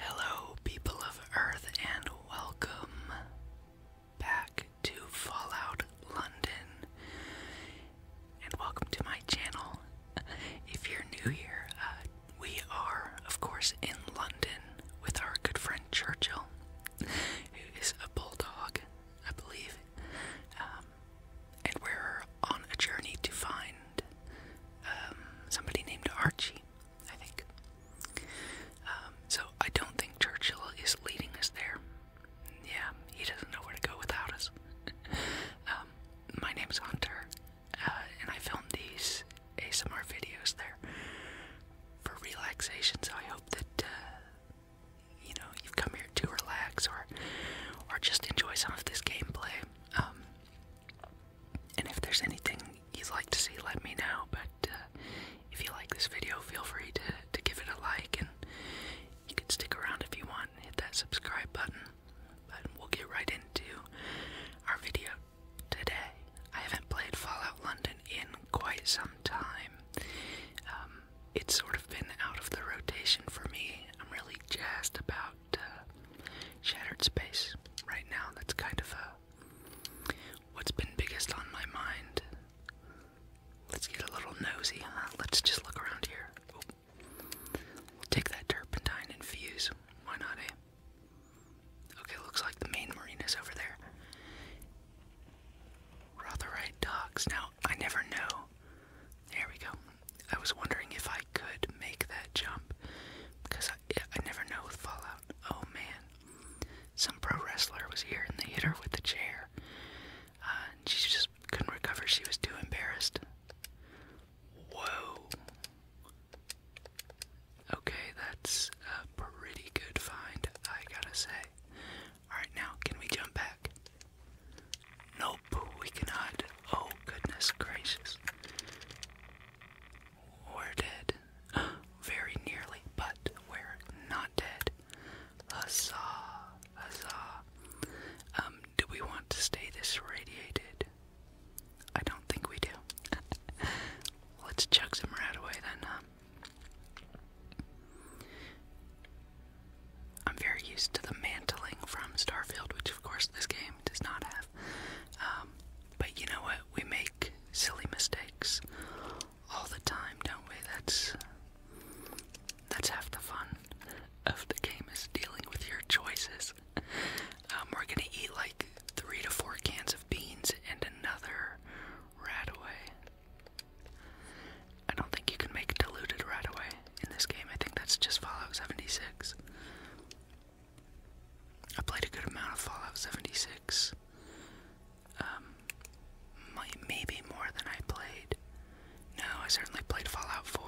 Hello, people of Earth, and welcome back to Fallout London. And welcome to my channel. If you're new here, uh, we are, of course, in London with our good friend Churchill, who is a bulldog, I believe. Um, and we're on a journey to find um, somebody named Archie. I think. Um, so I don't think Churchill is leading us there. Yeah, he doesn't know where to go without us. um, my name's Hunter, uh, and I filmed these ASMR videos there for relaxation. So I hope that uh, you know you've come here to relax or or just enjoy some of this gameplay. Um, and if there's anything you'd like to see, let me know. But uh, if you like this video, feel free to, give it a like, and you can stick around if you want hit that subscribe button. But we'll get right into our video today. I haven't played Fallout London in quite some time. Um, it's sort of been out of the rotation for me. I'm really jazzed about uh, Shattered Space right now. That's kind of a What's been biggest on my mind? Let's get a little nosy, huh? Let's just look around here. take that turpentine infuse. Why not, eh? Okay, looks like the main marina is over there. Rotherite docks. Now, I never know. There we go. I was wondering if I could make that jump because I, I never know with Fallout. Oh man, some pro wrestler was here and they hit her with a chair. Uh, she just couldn't recover. She was too embarrassed. Whoa. Okay, that's a pretty good find, I gotta say. Alright, now, can we jump back? Nope, we cannot. Oh, goodness gracious. We're dead. Very nearly, but we're not dead. Huzzah! Huzzah! Um, do we want to stay this radiated? I don't think we do. Let's chuck some right away then, huh? I'm very used to the mantling from Starfield, which of course this game does not have. Um, but you know what? We make silly mistakes all the time, don't we? That's that's half the fun of the game is dealing with your choices. Um, we're gonna eat like three to four cans of beans and another right I don't think you can make diluted right away in this game. I think that's just Fallout 76. I played a good amount of Fallout 76. Um, maybe more than I played. No, I certainly played Fallout 4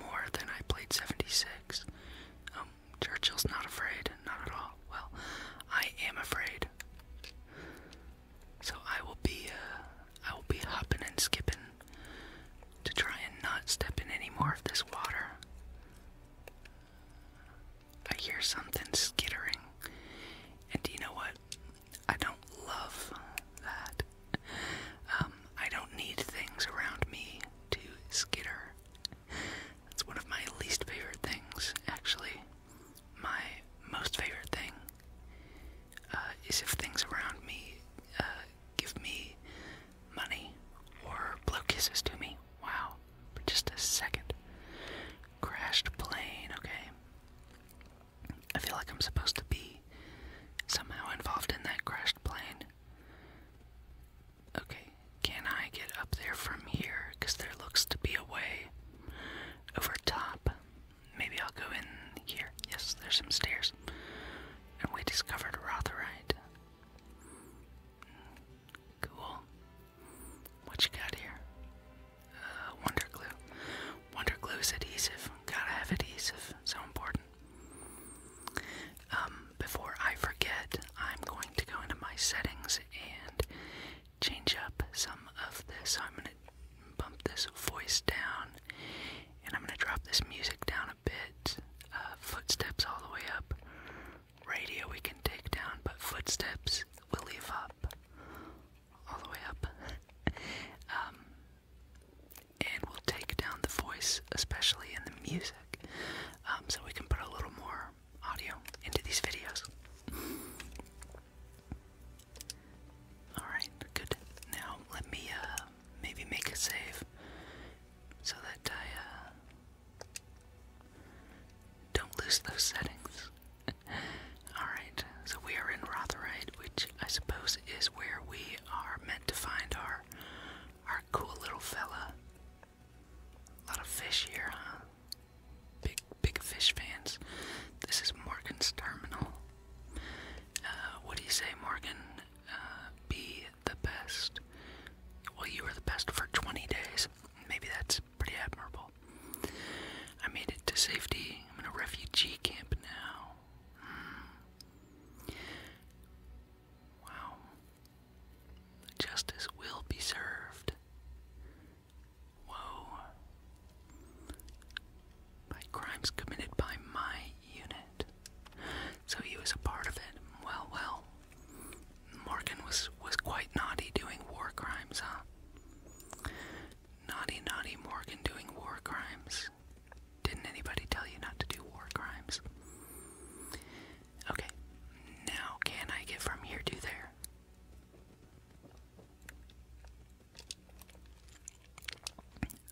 more than I played 76. Um, Churchill's not afraid, not at all. Well, I am afraid. So I will be, uh, I will be hopping and skipping to try and not step in any more of this water. I hear something skittering. And do you know what? I don't love that. Um, I don't need things around me to skitter. That's one of my least favorite things, actually. My most favorite thing uh, is if things around me uh, give me money or blow kisses to me. Wow, for just a second. Crashed plane, okay. I feel like I'm supposed to be somehow involved in that crashed plane. Okay, can I get up there from here? Because there looks to be a way over top. Maybe I'll go in here. Yes, there's some stairs. And we discovered Rotherite. Cool. What you got here? Uh, Wonder Glue. Wonder Glue is adhesive. Gotta have adhesive. So important. Um, before I forget, I'm going to go into my settings and change up some of this. So I'm gonna bump this voice down and I'm gonna drop this music down a bit. Uh, footsteps all the way up. Radio we can take down, but footsteps we leave up. All the way up. Um, and we'll take down the voice, especially in the music, um, so we can put a little more audio into these videos. Alright, good. Now let me uh, maybe make a save so that I uh, don't lose those settings. Alright, so we are in Rotherite, which I suppose is where we are meant to find our our cool little fella. A lot of fish here, huh? Big big fish fans. This is Morgan's terminal. Uh, what do you say, Morgan? Uh, be the best. Well, you were the best for 20 days. Maybe that's pretty admirable. I made it to safety. I'm in a refugee camp now. Hmm. Wow. Justice will be served. Whoa. By crimes committed by my unit. So he was a part of it. Well, well. Morgan was was quite naughty doing war crimes, huh? Naughty, naughty Morgan doing war crimes. Didn't anybody tell you not to do war crimes? Okay, now can I get from here to there?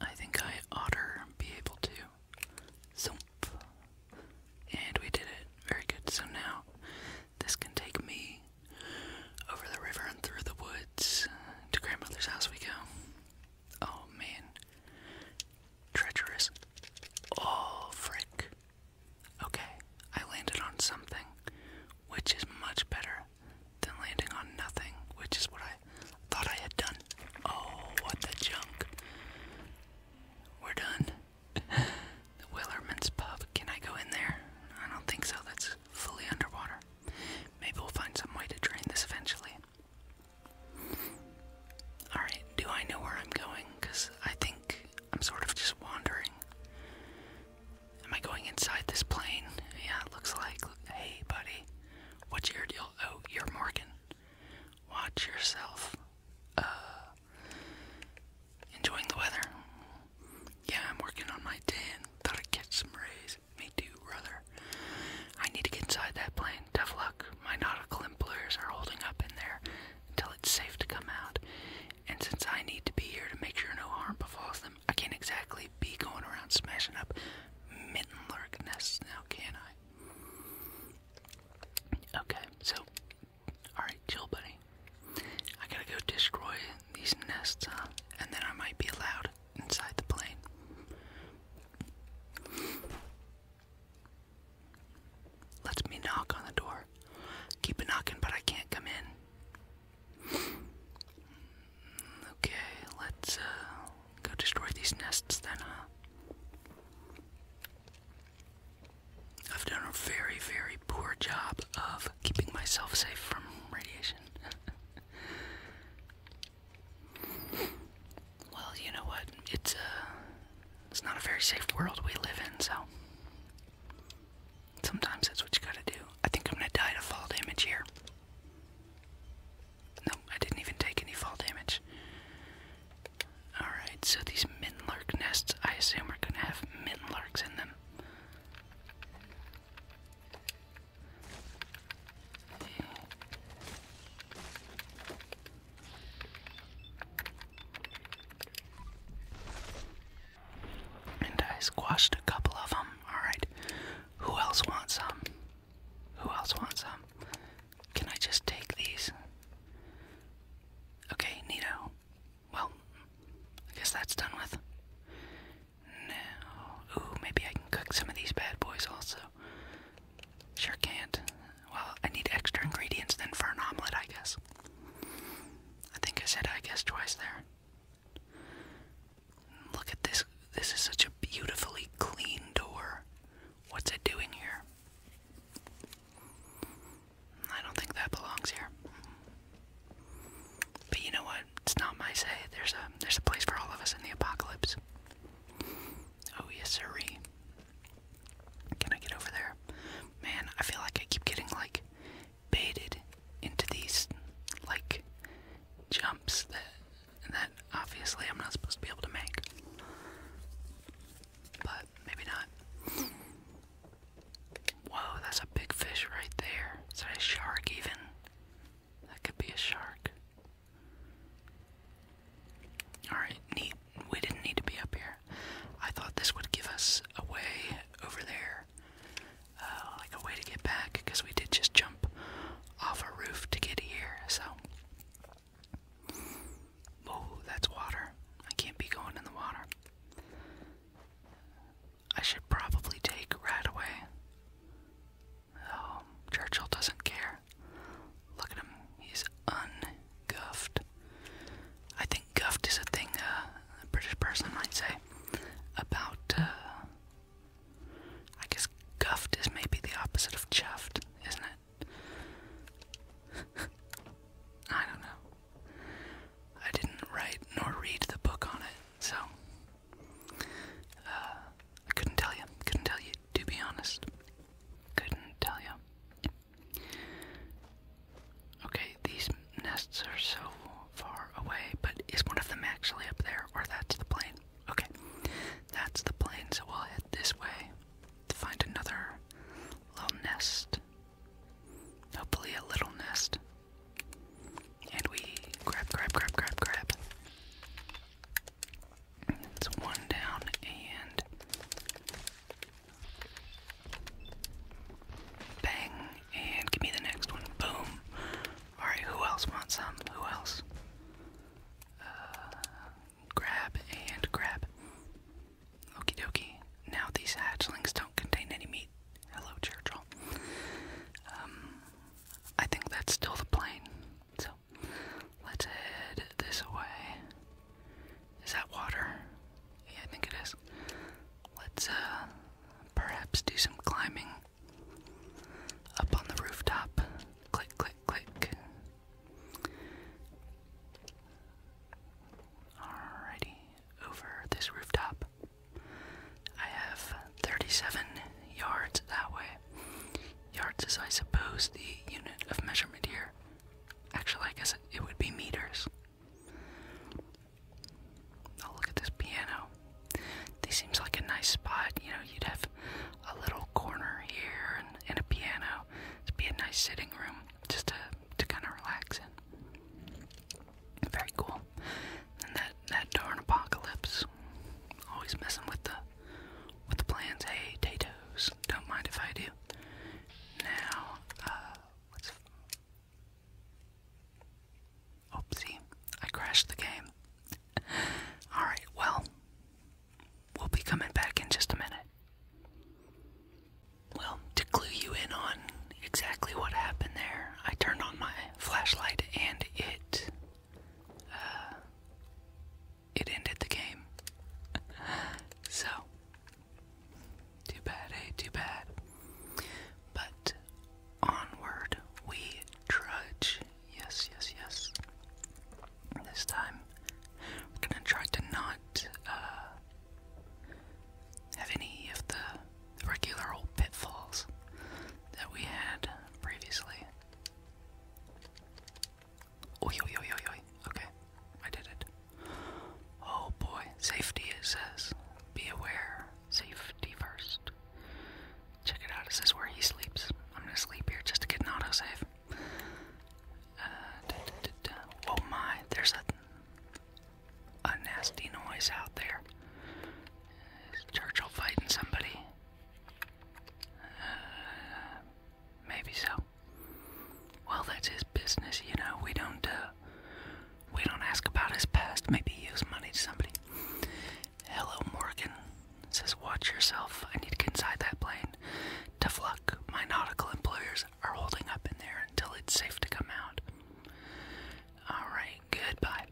I think I ought be able to. So, and we did it. Very good. So now this can take me over the river and through the woods to grandmother's house we go. Oh man. Treacherous. Oh frick. Okay, I landed on something, which is much better than landing on nothing, which is what I thought I had done. Oh, what the junk. We're done. the Willerman's Pub. Can I go in there? I don't think so. That's fully underwater. Maybe we'll find some way to drain this eventually. Alright, do I know where I'm going? Because I think I'm sort of just wandering. Am I going inside this plane? Yeah, it looks like. Hey, buddy. What's your deal? Oh, you're Morgan watch yourself. Uh, enjoying the weather. Yeah, I'm working on my tan. Thought I'd get some rays. Me too, brother. I need to get inside that plane. Tough luck. My nautical employers are holding up in there until it's safe to come out. And since I need to be here to make sure no harm befalls them, I can't exactly be going around smashing up mitten lurk nests now, can I? Okay, so alright, chill buddy. I gotta go destroy these nests, And then I might be allowed inside the plane. Let's me knock on the door. Keep knocking, but I can't come in. Okay, let's uh, Go destroy these nests then, I've done a very, very poor job of keeping myself safe from radiation. well, you know what? It's a uh, it's not a very safe world we live in, so sometimes that's what you gotta do. I think I'm gonna die to fall damage here. No, I didn't even take any fall damage. Alright, so these minlark nests, I assume, are gonna have minlarks in them. And I squashed a couple of them. Alright. Who else wants some? Who else wants some? Can I just take these? Okay, Nito. Well, I guess that's done with. Now, ooh, maybe I can cook some of these bad boys also. Sure can't. Well, I need extra ingredients then for an omelet, I guess. I think I said I guess twice there. Look at this. This is such a beautifully clean door. What's it doing here? I don't think that belongs here. But you know what? It's not my say. There's a there's a place for all of us in the apocalypse. Oh yes sirree. Can I get over there? Man, I feel like I keep getting like baited into these like jumps that that obviously I'm not supposed to be able to make. But maybe not. Whoa, that's a big fish right there. Is that a shark even? That could be a shark. Alright, neat. We didn't need to be up here. I thought this would give us a way over there. Uh, like a way to get back, because we did just jump off a roof to get here, so Whoa, that's water. I can't be going in the water. I should probably take right away. Oh, Churchill doesn't care. Look at him. He's unguffed. I think guft is a thing uh, a British person might say about uh, I guess guffed is maybe the opposite of chuffed, isn't it? I don't know. I didn't write nor read the book on it, so uh, I couldn't tell you. Couldn't tell you, to be honest. Couldn't tell you. Okay, these nests are so far away, but is one of them actually up there, or that's the plane? Okay, that's the plane, so we'll head this way to find another little nest. Hopefully, a little nest. And we grab, grab, grab, grab, grab. It's one down and. Bang, and give me the next one. Boom. Alright, who else wants some? Who else? Uh, Grab and grab. Okie dokie. Now these hatchlings don't contain any meat. Hello, Churchill. Um, I think that's still the plane. So, let's head this way. Is that water? Yeah, I think it is. Let's, uh, perhaps do some climbing up on the rooftop. Click, click click, Alrighty, over this rooftop. I have 37 yards that way. Yards as I suppose, the unit of measurement here. Actually, I guess it would be meters. Oh, look at this piano. This seems like a nice spot. You know, you'd have a little corner here and, a piano. It'd be a nice sitting room just to, to kind of relax in. Very cool. And that that darn apocalypse, always messing with the with the plans. Hey, Tatoes, don't mind if I do. Now, uh, Oopsie, I crashed the game. Alright, well, We'll be coming back in just a minute. Well, to clue you in on exactly what happened there, I turned on my flashlight and it. Uh, it ended the game. so. Too bad, eh? Too bad. But onward we trudge. Yes, yes, yes. This time, we're gonna try to not uh, have any of the regular old pitfalls that we had previously. Oi, oi, oi, oi, Okay, I did it. Oh boy, safety it says. Be aware, safety first. Check it out. Is this where he sleeps? I'm gonna sleep here just to get an autosave. Uh, Oh my, there's a, a nasty noise out there. Churchill fighting somebody? Uh, maybe so. Well, that's his business, you know. We don't, uh, we don't ask about his past. Maybe he owes money to somebody. Hello, Morgan says, Watch yourself. I need to get inside that plane. Tough luck. My nautical employers are holding up in there until it's safe to come out. Alright, goodbye.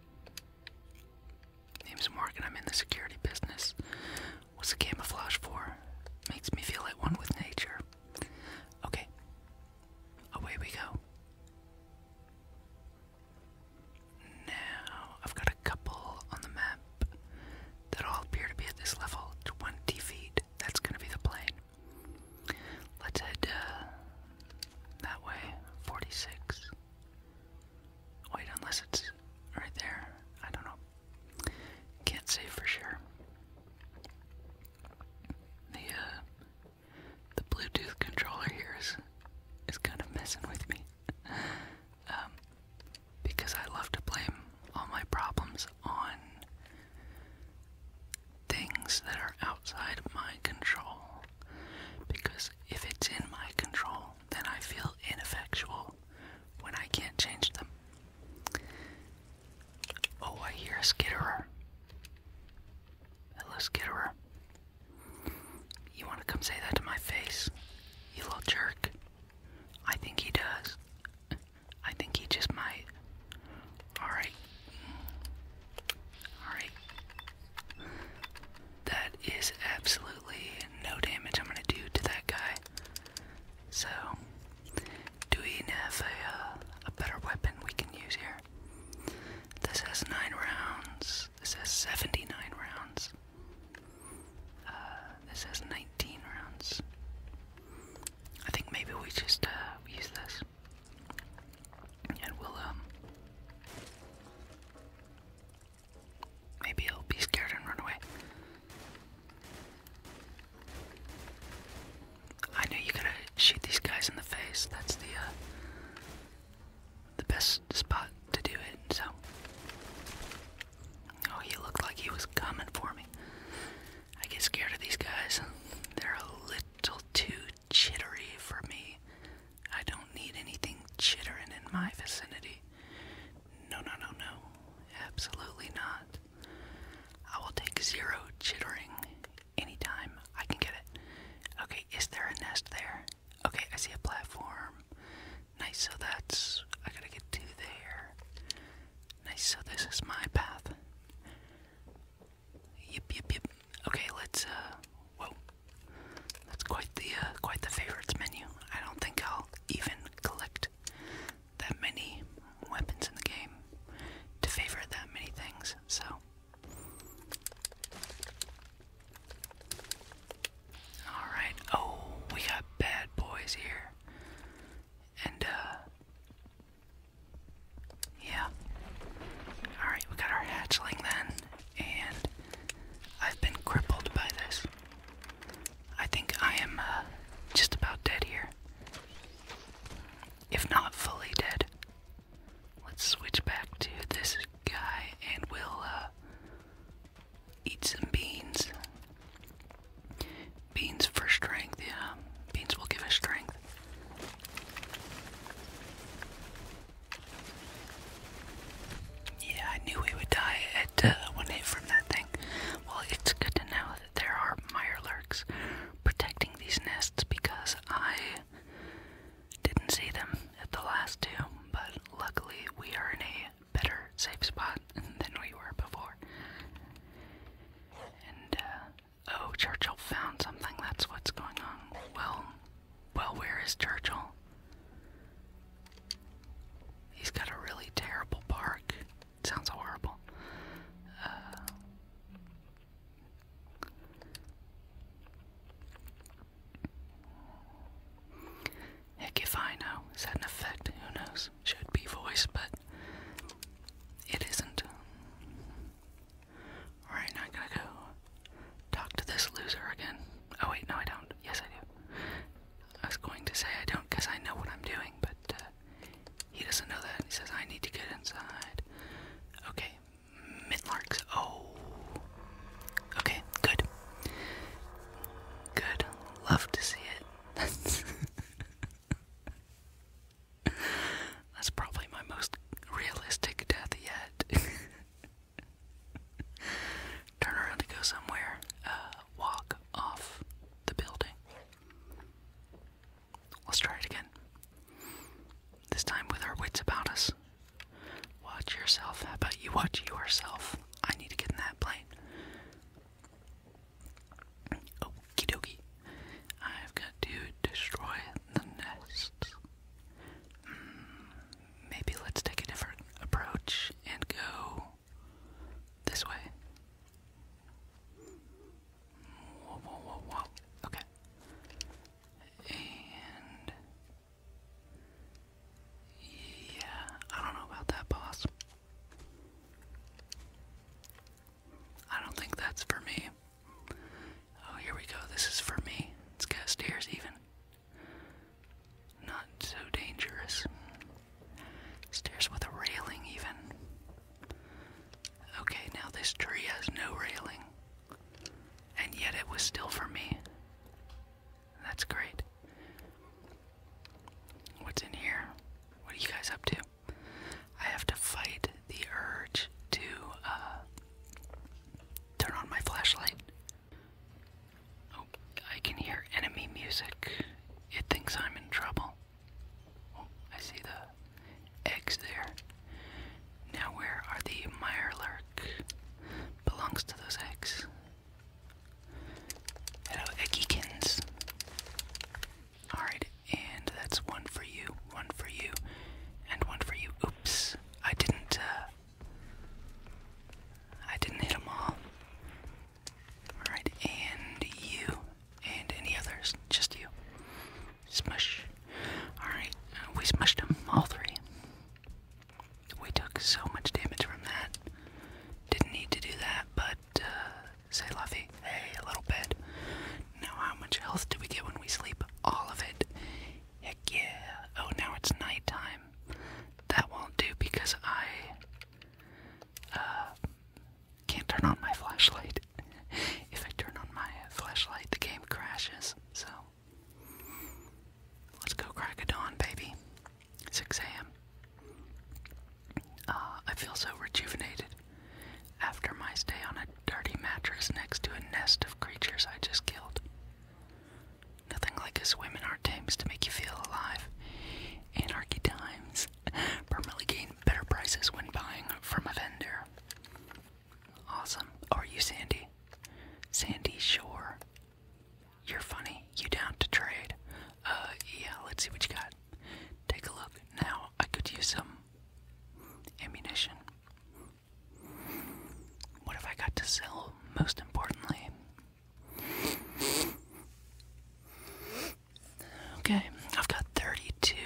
Name's Morgan. I'm in the security business. What's the camouflage for? Makes me feel at one with nature. Okay. Away we go. Now, I've got a couple on the map that all appear to be at this level 20 feet. That's going to be the plane. Let's head uh, that way 46. Wait, unless it's right there. I don't know. Can't say for sure. The uh, the Bluetooth controller here is is kind of messing with me. Um, because I love to blame all my problems on things that are outside of my control. Because if it's in my control, then I feel ineffectual when I can't change them. Oh, I hear a skitterer. Hello, skitterer. You want to come say that to my face? You little jerk. I think he does. I think he just might. Alright. Alright. That is absolutely no damage I'm gonna do to that guy. So, do we have a, uh, a better weapon we can use here? This has nine rounds. This has 79 rounds. Uh, this has 19 rounds. I think maybe we just uh, use this. And we'll, um. Maybe he'll be scared and run away. I know you got shoot these guys in the face. That's the, uh, The best spot to do it, so. Oh, he looked like he was coming for me. I get scared of these guys. They're a little too chittery for me. I don't need anything chittering in my vicinity. No, no, no, no. Absolutely not. I will take zero chittering anytime I can get it. Okay, is there a nest there? Okay, I see a platform. Nice, so that's. I gotta get to there. Nice, so this is my path. Yep, yep, yep. Okay, let's, uh. Whoa. That's quite the, uh, quite the favorites menu. I don't think I'll even collect that many weapons in the game to favor that many things, so. Alright, oh, we got bad boys here. And, uh, yeah. Alright, we got our hatchling then, and I've been crippled by this. I think I am, uh, just about dead here. If not fully dead. Let's switch back to this guy and we'll, uh, eat some beans. Beans for strength, yeah. Beans will give us strength. Yeah, I knew we would die at uh, one hit from that thing. Well, it's good to know that there are mire lurks protecting these nests because I didn't see them at the last two, but luckily we are in a better safe spot than we were before. And, uh, oh, Churchill found something, that's what's going on. Well, well, where is Churchill? He's got a really terrible bark. sounds horrible. Uh, Heck if I know. Is that an effect? Who knows? Should be voice, but it isn't. Alright, now I gotta go talk to this loser again. Oh, wait, no, I don't. Yes, I do. I was going to say I don't because I know what I'm doing, but uh, he doesn't know that. He says, I need to get inside. Okay, Midlarks. Oh. Okay, good. Good. Love to see it. That's, probably my most realistic death yet. Turn around to go somewhere. Uh, walk off the building. Let's try it again. This time with our wits about us. Watch yourself. How about you watch yourself? I need to get in that plane. Okie dokie. I've got to destroy the nests. Hmm, maybe let's take a different approach and go this way. Whoa, whoa, whoa, whoa. Okay. And yeah, I don't know about that, boss. I don't think that's for me. Oh, here we go. This is for me. It's got stairs, even. Not so dangerous. Stairs with a railing, even. Okay, now this tree has no railing. And yet it was still for me. That's great. What's in here? What are you guys up to? I have to fight the urge to uh, turn on my flashlight. Oh, I can hear enemy music. It thinks I'm in trouble. Oh, I see the eggs there. Now, where are the Myrler belongs to those eggs. Hello, eggiekins. Alright, and that's one for you, one for you, and one for you. Oops, I didn't, uh, I didn't hit them all. Alright, and you, and any others, just you. Smush. Alright, uh, we smushed them, all three. We took so much damage from that. Didn't need to do that, but uh, say Luffy, hey, a little bit. Now, how much health do we get when we sleep? All of it. Heck yeah. Oh, now it's nighttime. That won't do because I uh, can't turn on my flashlight. if I turn on my flashlight, the game crashes. So Let's go crack a dawn, baby. 6 a.m. Uh, I feel so rejuvenated after my stay on a dirty mattress next to a nest of creatures I just killed. Nothing like a swim in our Thames to make you feel alive. Anarchy Times. Permanently gain better prices when buying from a vendor. Awesome. Are you Sandy? Sandy Shore you're funny. You down to trade? Uh, yeah, let's see what you got. Take a look. Now, I could use some ammunition. What have I got to sell, most importantly? Okay, I've got 32.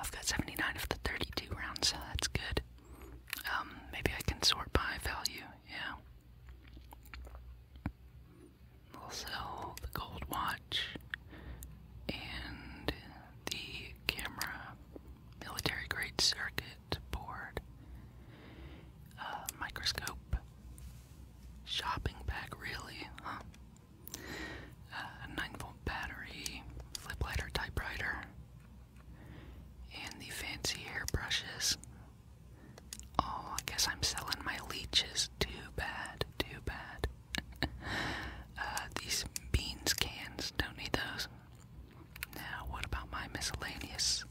I've got 79 of the 32 rounds, so that's good. Um, maybe I can sort by value, yeah. we the gold watch and the camera, military grade circuit board, uh, microscope, shopping bag, really, huh? Uh, a 9 volt battery, flip lighter, typewriter, and the fancy hairbrushes. Oh, I guess I'm selling my leeches. Too bad, too bad. Uh, these beans cans, don't need those. Now, what about my miscellaneous?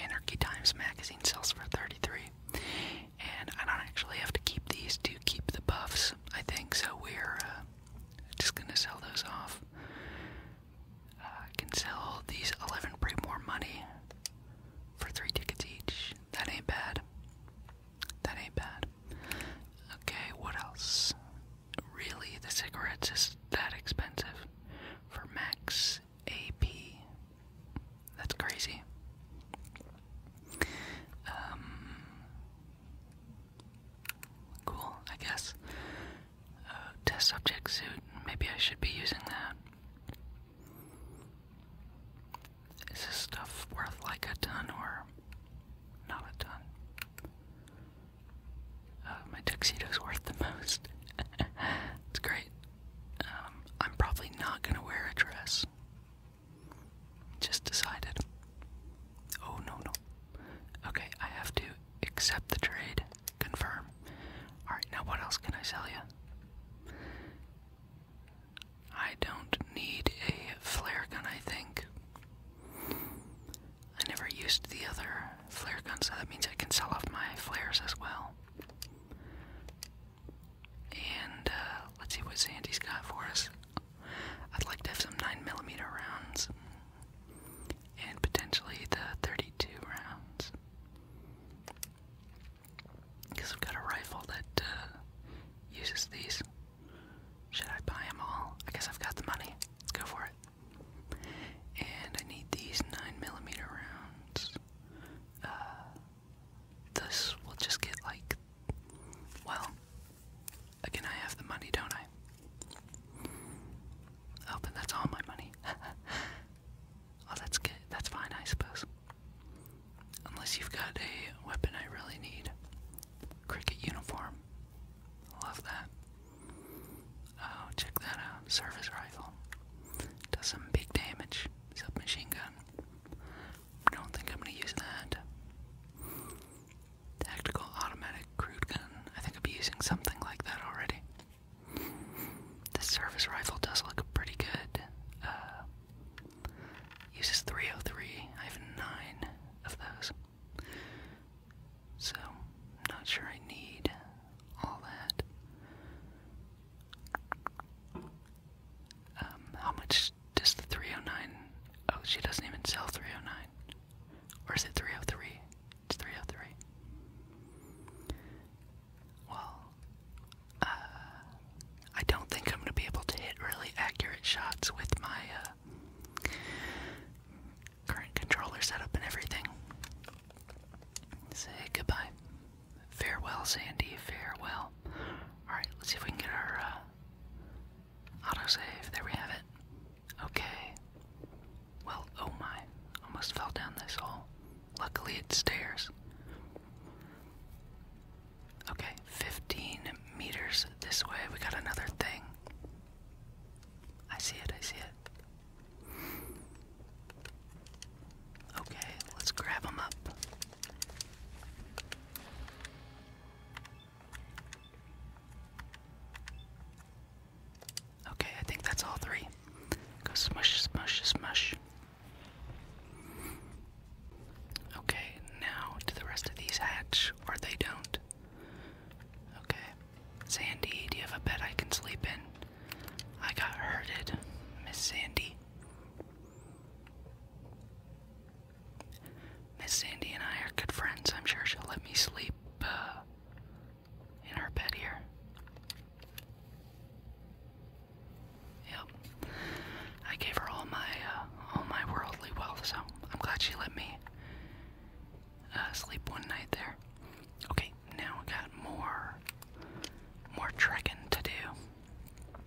Anarchy Times magazine sells for 33 and I don't actually have to keep these to keep the buffs, I think, so we're uh, just gonna sell those off. I can sell these 11 for more money for three tickets each. That ain't bad. That ain't bad. Okay, what else? Really, the cigarettes is that expensive for max AP. That's crazy. Um, Cool, I guess. Uh, test subject suit. Maybe I should be using that. Is this stuff worth like a ton or not a ton? Uh, my tuxedo's worth the most. it's great. Um, I'm probably not gonna wear a dress. Just decided. Oh no, no. Okay, I have to accept the trade. Confirm. Alright, now what else can I sell you? I don't need a flare gun, I think. I never used the other flare guns, so that means I can sell off my flares as well. And uh, let's see what Sandy's got for us. I'd like to have some 9 millimeter rounds and potentially the 32 rounds. Because I've got a rifle that uh, uses these. Should I buy them all? I guess I've got the money. Let's go for it. And I need these 9mm rounds. Uh, this will just get like. Well, Again, I have the money, don't I? Oh, that's all my money. oh, that's good. That's fine, I suppose. Unless you've got a weapon I really need. Cricket uniform. Love that. Oh, check that out. Service rifle. Does some big damage. Submachine gun. Don't think I'm gonna use that. Tactical automatic crude gun. I think I'd be using something like that already. This service rifle does look pretty good. Uh, uses 303. I have nine of those. So, not sure I need all that. Um, how much does the 309? Oh, she doesn't even sell 309. Or is it 303? It's three of oh three. Well, uh, I don't think I'm gonna be able to hit really accurate shots with my uh, current controller setup and everything. Say goodbye. Farewell, Sandy. Farewell. Alright, let's see if we can get our uh, autosave. There we have it. Okay. Well, oh my. Almost fell down this hole. Luckily, it's stairs. Okay, 15 meters this way. We got another thing. I see it, I see it. Okay, let's grab them up. Okay, I think that's all three. Go smush, smush, smush. Okay, now do the rest of these hatch or they don't? Okay. Sandy, do you have a bed I can sleep in? I got hurted, Miss Sandy. Miss Sandy and I are good friends. I'm sure she'll let me sleep uh, in her bed here. Yep. I gave her all my uh, all my worldly wealth, so I'm glad she let me uh, sleep one night there. Okay, now we got more more trekking to do.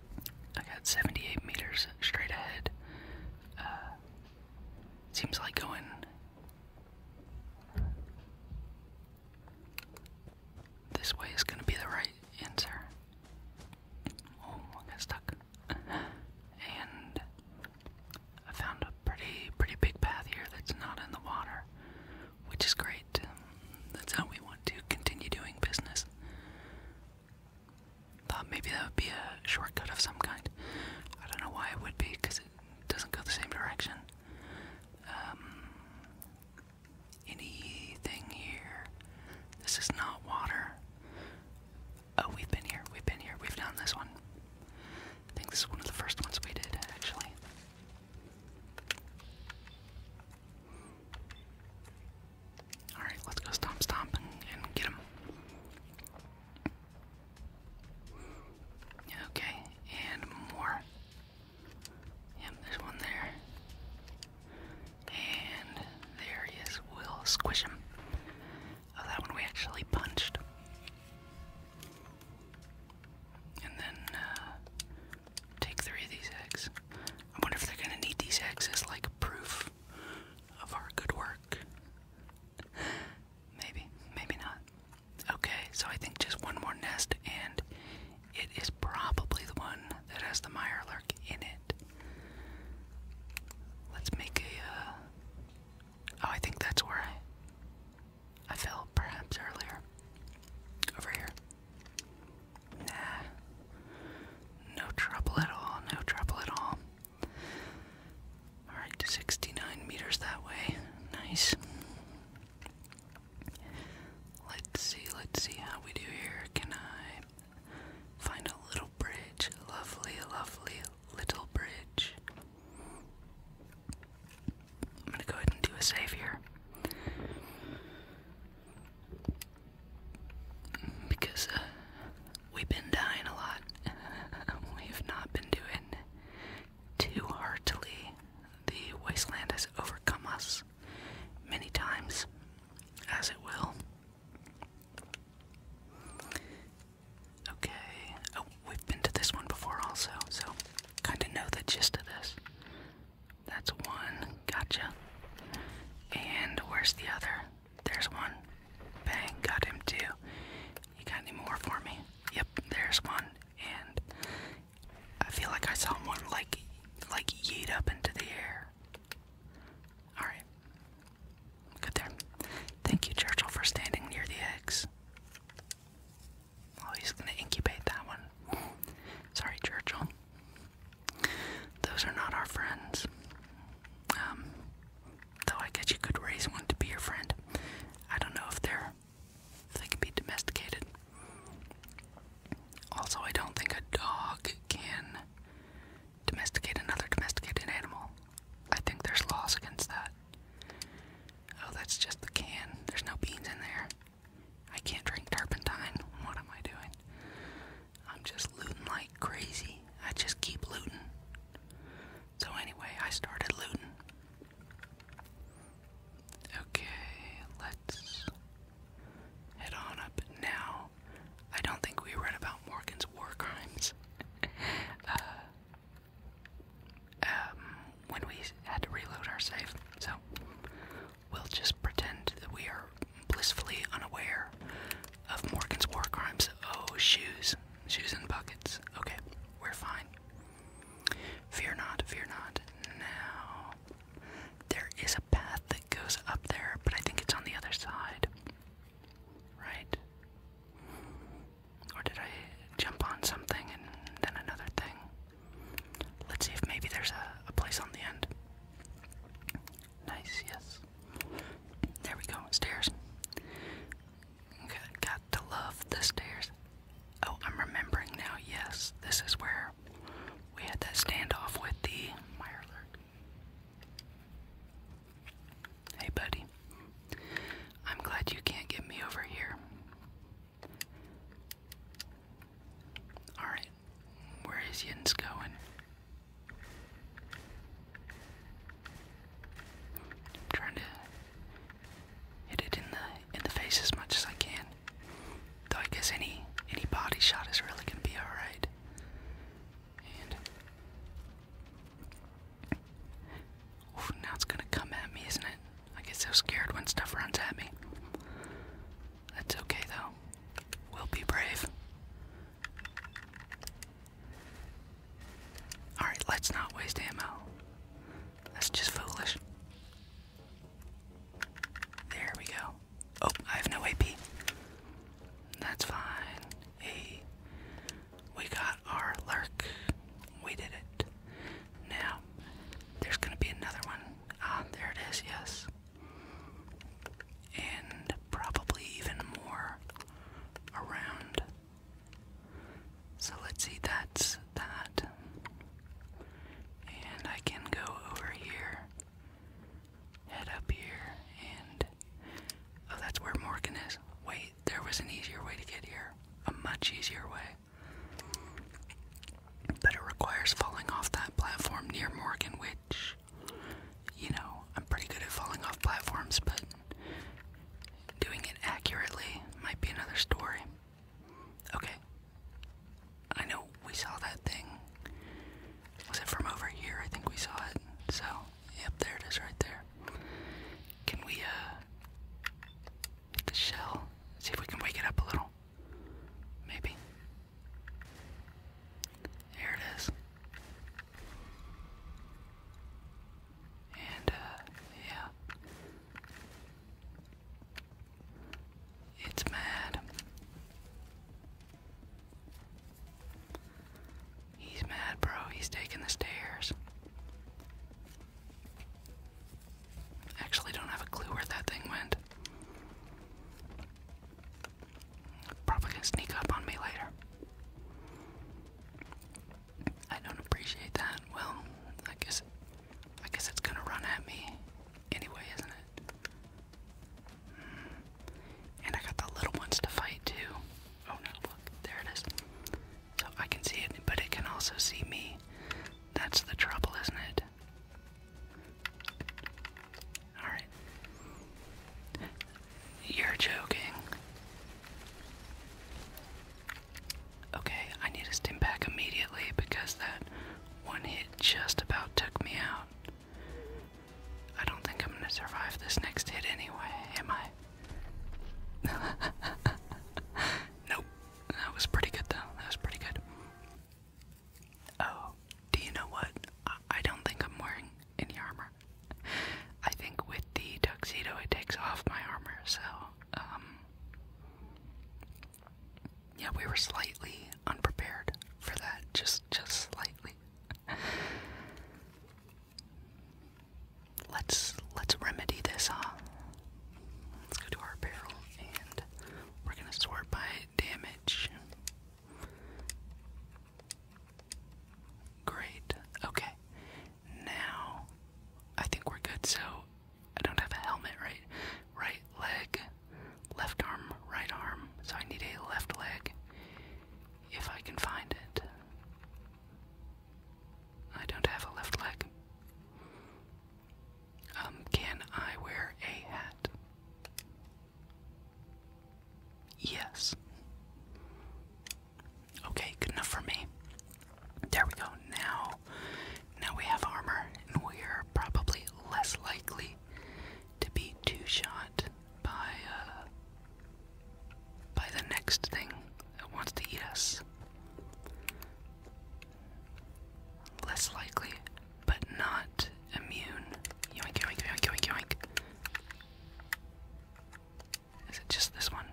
I got 78 meters straight ahead. Uh, seems like going this way is going to be the right answer. Oh, I got stuck. and I found a pretty, pretty big path here that's not in the water, which is great. That's how we want to continue doing business. Thought maybe that would be a shortcut of some kind. I don't know why it would be, because doesn't go the same direction. Um, anything here? This is not water. Oh, we've been here. We've been here. We've done this one. I think this is one of the first ones we did, actually. Alright, let's go stomp, stomp, and get him. Okay, and more. Yep, there's one there. And there he is. We'll squish him. Oh, that one we actually punched. And then uh, take three of these eggs. I wonder if they're gonna need these eggs as like proof of our good work maybe, maybe not. Okay, so I think just one more nest, and it is probably the one that has the Meyerlark in it. Let's make a. Uh... Oh, I think that's where I, I fell perhaps earlier. Over here. Nah. No trouble at all. No trouble at all. Alright, 69 meters that way. Nice. Let's see, let's see how we do here. Can I find a little bridge? Lovely, lovely little bridge. I'm gonna go ahead and do a save here. Because uh, We've been dying a lot. We've not been doing too heartily. The wasteland has overcome us many times, as it will. Okay. Oh, we've been to this one before also, so kind of know the gist of this. That's one. Gotcha. And where's the other? There's one. Bang, got him too. You got any more for me? Yep, there's one. And I feel like I saw one like like yeet up into the air. Alright. Good there. Thank you, Churchill, for standing near the eggs. Oh, he's gonna incubate that one. Sorry, Churchill. Those are not our friends. Um, though I guess you could raise one to be your friend. I don't know if they're if they can be domesticated. Also, I don't think a dog can domesticate another domesticated animal. I think there's laws against that. Oh, that's just the can. There's no beans in there. I can't drink turpentine. What am I doing? I'm just looting like crazy. I just keep looting. So, anyway, I started looting. Okay, let's head on up now. I don't think we read about Morgan's war crimes. Uh, um, when we had to reload our save, so we'll just pretend that we are blissfully unaware of Morgan's war crimes. Oh, shoes. Shoes and buckets. Okay, we're fine. Fear not, fear not. Now, there is a path that goes up there, but I think it's on the other side. Right? Or did I jump on something and then another thing? Let's see if maybe there's a, a place on the end. Nice, yes. There we go, stairs got to love the stairs. Oh, I'm remembering now. Yes, this is where we had that standoff with the Hey, buddy. I'm glad you can't get me over here. Alright, where is Yins going? I'm trying to hit it in the in the face as much as I can. Though I guess any any body shot is really gonna be alright. And now it's gonna come at me, isn't it? I get so scared when stuff runs at me. That's okay though. We'll be brave. Alright, let's not waste ammo. That's just foolish. There we go. Oh, I have no AP. That's fine. Hey, we got our lurk. We did it. Now, there's gonna be another one. Ah, there it is, yes. And probably even more around so let's see, that's that. And I can go over here, head up here, and oh, that's where Morgan is. Wait, there was an easier way to get here, a much easier way. But it requires falling off that platform near Morgan, which, you know, I'm pretty good at falling off platforms, but Doing it accurately might be another story. Okay. I know we saw that thing. Was it from over here? I think we saw it. So, yep, there it is right there. Can we, uh, hit the shell? See if we can wake it up a little. Maybe. There it is. And, uh, yeah. It's mad. He's mad, bro. He's taking the stairs. Actually, don't have a clue where that thing went. Probably gonna sneak up on me later. I don't appreciate that. Well, I guess I guess it's gonna run at me anyway, isn't it? Hmm. And I got the little ones to fight too. Oh no, look, there it is. So I can see it, but it can also see me. That's the trouble, isn't it? Alright. You're joking. Okay, I need to stim back immediately because that one hit just about took me out. I don't think I'm gonna survive this next hit anyway, am I? nope. That was pretty good though. That was pretty good. Oh, do you know what? I don't think I'm wearing in the armor. I think with the tuxedo it takes off my armor, so um, yeah, we were slightly unprepared for that, just just slightly. let's let's remedy this, huh? Let's go to our barrel and we're gonna sort by damage. Great. Okay. Now, I think we're good. So, I don't have a helmet, right? Right leg, left arm, right arm. So, I need a left leg if I can find it. I don't have a left leg. Um, can I wear a hat? Yes. Okay, good enough for me. There we go. Now, now we have armor, and we're probably less likely to be two shot by uh, by the next thing that wants to eat us. Less likely, but not immune. Is it just this one?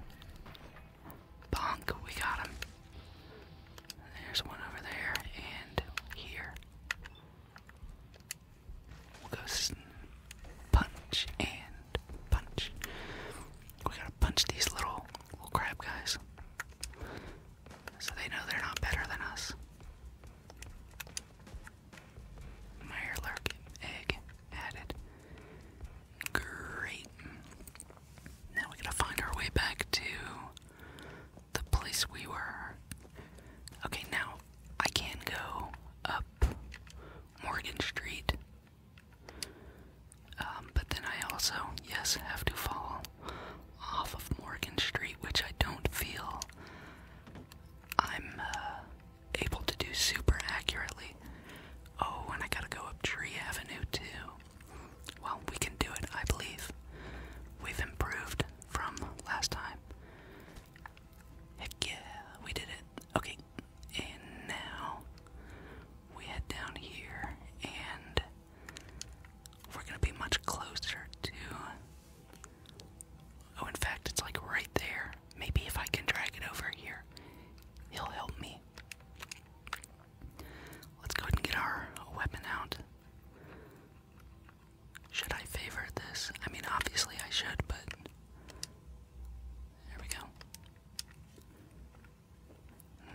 Bonk, we got him. There's one over there and here. We'll go punch and punch. We gotta punch these little little crab guys. So they know they're not better than us. Meyerlark egg added. Great. Now we gotta find our way back to the place we were. Okay, now I can go up Morgan Street. Um, but then I also, yes, have to fall off of Morgan Street, which I don't feel I'm uh, able to do super accurately. Oh, and I gotta go up Tree Avenue too. Well, we can do it, I believe. We've improved from last time. Heck yeah, we did it. Okay, and now we head down here, and we're gonna be much closer to. Oh, in fact, it's like right there. Maybe if I can drag it over here, he'll help me. Let's go ahead and get our weapon out. Should I favor this? I mean, obviously I should, but. There we go.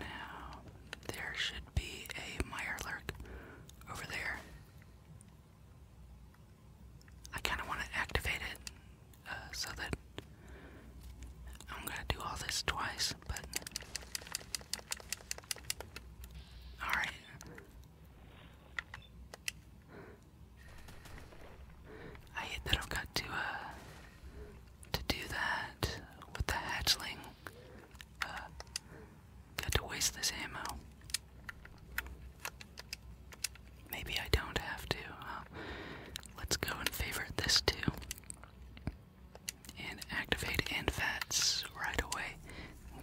Now, there should be a Mire Lurk over there. I kind of want to activate it uh, so that I'm going to do all this twice, but. Alright. I hate that I've got to, uh, to do that with the hatchling. Uh, got to waste this ammo. Maybe I don't have to. let's go and favorite this too. And activate NFATs right away.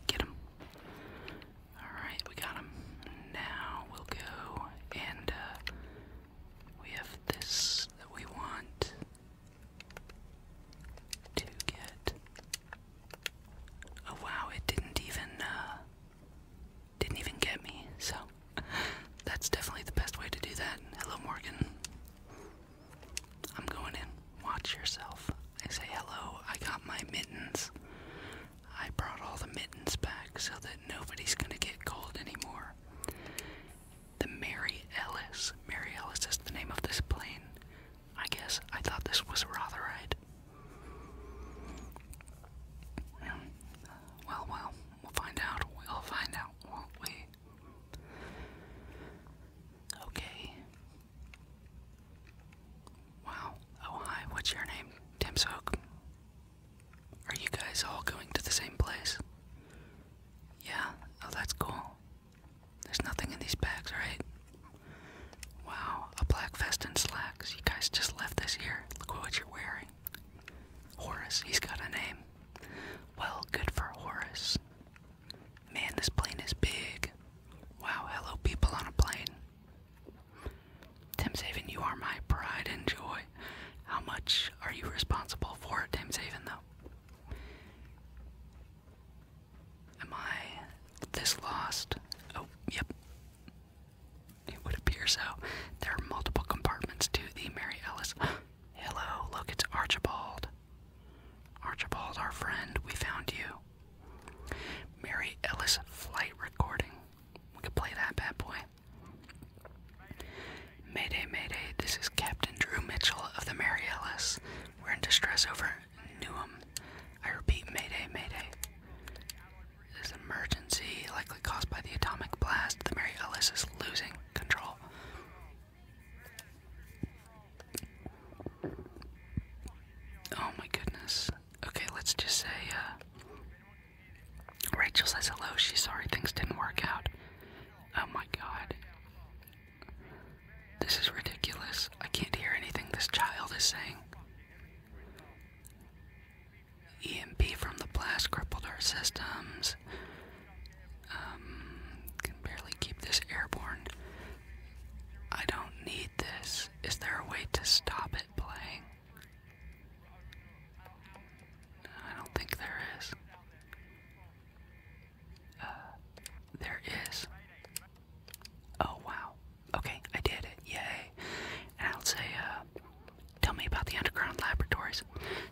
Get them. Alright, we got them. Now we'll go and uh, we have this that we want to get. Oh wow, it didn't even. Uh, didn't even get me, so that's definitely the best way to do that. Hello, Morgan. I'm going in. Watch yourself. I say hello. I got my mittens. I brought all the mittens back so that nobody's gonna get cold anymore. The Mary Ellis. Mary Ellis is the name of this plane. I guess I thought this was Rotherite. Well, well, we'll find out. We'll find out, won't we? Okay. Wow. Oh, hi. What's your name? Tim Soak. Are you guys all going to the same place? Yeah. Oh, that's cool. There's nothing in these bags, right? Wow, a black vest and slacks. You guys just left this year. Look what you're wearing. Horace, he's got a name. Well, good for Horace. Man, this plane is big. Wow, hello, people on a plane. Timshaven, you are my pride and joy. How much are you responsible for, Timshaven, though? Am I this lost? Oh, yep. It would appear so. There are multiple compartments to the Mary Ellis. Hello, look, it's Archibald. Archibald, our friend, we found you. Mary Ellis flight recording. We could play that bad boy. Mayday, Mayday, this is Captain Drew Mitchell of the Mary Ellis. We're in distress over Newham. I repeat, Mayday, Mayday this emergency, likely caused by the atomic blast, the Mary Ellis is losing control. Oh my goodness. Okay, let's just say, uh, Rachel says hello, she's sorry things didn't work out. Oh my god. This is ridiculous. I can't hear anything this child is saying. EMP from the blast crippled our systems. Um, can barely keep this airborne. I don't need this. Is there a way to stop it playing? I don't think there is. Uh, there is. Oh wow. Okay, I did it. Yay. And I'll say, uh, tell me about the underground laboratories.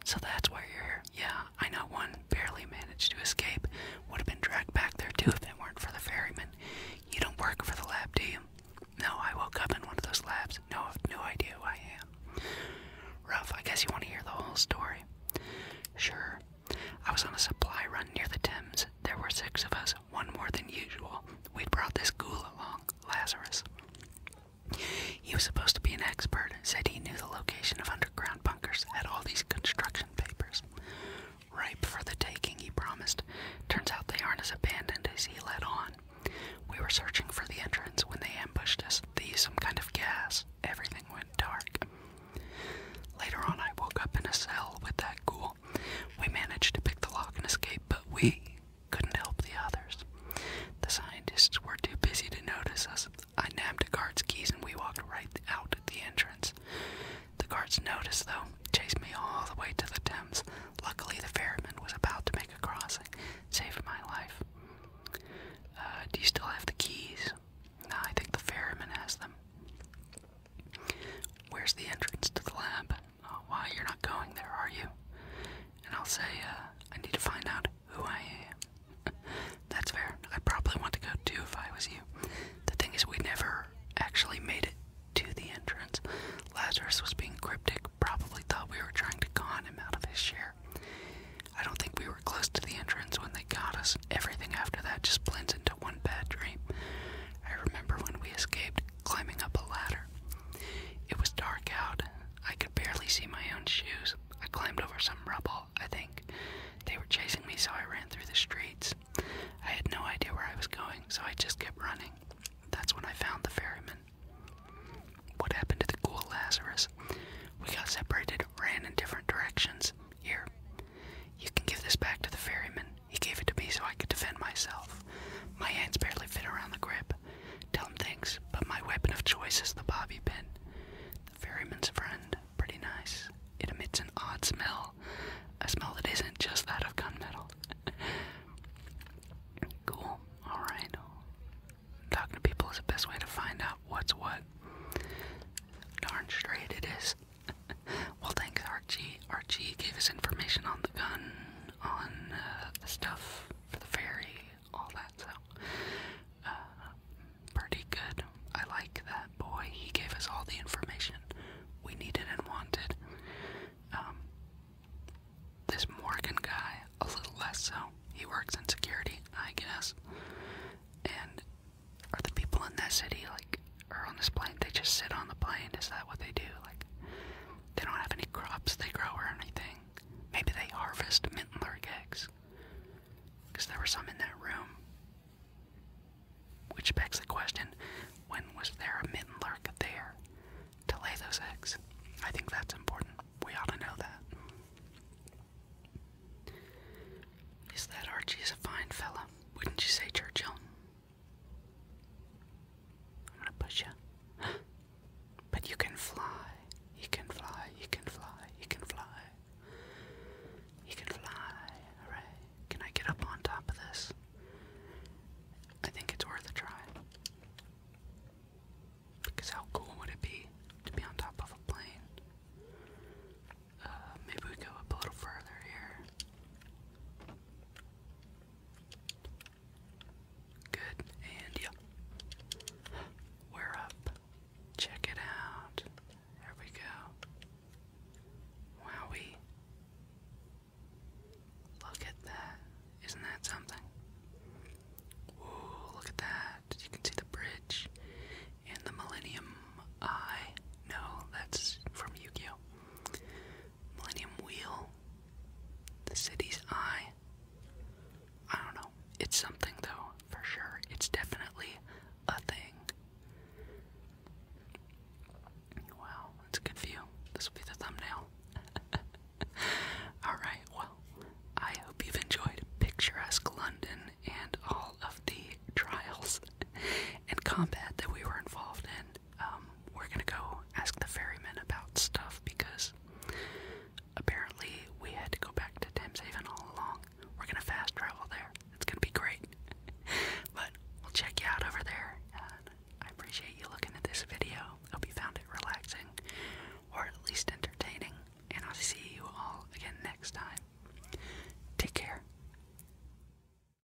So that's why you're here. Yeah, I know one barely managed to escape. Would have been dragged back there too if it weren't for the ferryman. You don't work for the lab, do you? No, I woke up in one of those labs. No, I have no idea who I am. Rough, I guess you want to hear the whole story. Sure. I was on a supply run near the Thames. There were six of us one more than usual, we brought this ghoul along, Lazarus. He was supposed to be an expert, said he knew the location of underground bunkers, had all these construction papers. Ripe for the taking, he promised. Turns out they aren't as abandoned as he led on. We were searching for the entrance when they ambushed us. They used some kind of gas. Everything went dark. Later on, I woke up in a cell with that ghoul. We managed to pick the lock and escape, but we couldn't help the others. The scientists were too busy to notice us. I nabbed a guard's keys and we walked right out at the entrance. The guards noticed, though, chased me all the way to the Thames. Luckily, the ferryman was about to make a crossing, saved my life. Uh, do you still have the keys? No, I think the ferryman has them. Where's the entrance to the lab? Uh, why you're not going there, are you? And I'll say, uh, I need to find out who I am. That's fair. I probably want to go too if I was you. The thing is, we never actually made it to the entrance. Lazarus was being cryptic, probably thought we were trying to con him out of his share. I don't think we were close to the entrance when they got us. Everything after that just blends into one bad dream. I remember when we escaped, climbing up a ladder. It was dark out. I could barely see my own shoes. I climbed over some rubble, I think. They were chasing me, so I ran through the streets. I had no idea where I was going, so I just kept running. That's when I found the ferryman. What happened to the cool Lazarus? We got separated, ran in different directions. Here. You can give this back to the ferryman. He gave it to me so I could defend myself. My hands barely fit around the grip. Tell him thanks, but my weapon of choice is the bobby pin. The ferryman's friend, pretty nice. It emits an odd smell, a smell that isn't just that of gunmetal. cool, alright. Talking to people is the best way to find out what's what. Darn straight it is well, thanks, Archie. Archie gave us information on the gun, on uh, the stuff for the ferry, all that. So, uh, pretty good. I like that boy. He gave us all the information we needed and wanted. Um, this Morgan guy, a little less so. He works in security, I guess. And are the people in that city like are on this plane. They just sit on the plane. Is that what they do? Like, they don't have any crops they grow or anything. Maybe they harvest mitten lark eggs. Because there were some in that room. Which begs the question when was there a mitten lark there to lay those eggs? I think that's important. We ought to know that. Is that Archie is a fine fella? Wouldn't you say, Churchill? I'm gonna push you. but you can fly. You can fly. You can fly. You can fly. You can fly. Alright. Can I get up on top of this? I think it's worth a try. Because how cool would it be to be on top of a plane? Uh, maybe we go a little further here. Good, and yeah. We're up. Check it out. There we go. Wowie. Look at that. Isn't that something? Ooh, look at that. You can see the bridge and the Millennium Eye. No, that's from Yu Millennium Wheel, the city's eye. I don't know. It's something though, for sure. It's definitely a thing. Wow, that's a good view. This will be the thumbnail. Alright, well, I hope you've enjoyed picturesque London and all of the trials and combat that we were involved in um, we're gonna go ask the ferryman about stuff because apparently we had to go back to Haven all along. We're gonna fast travel there. It's gonna be great. but we'll check you out over there. I appreciate you looking at this video. Hope you found it relaxing or at least entertaining. And I'll see you all again next time. Take care.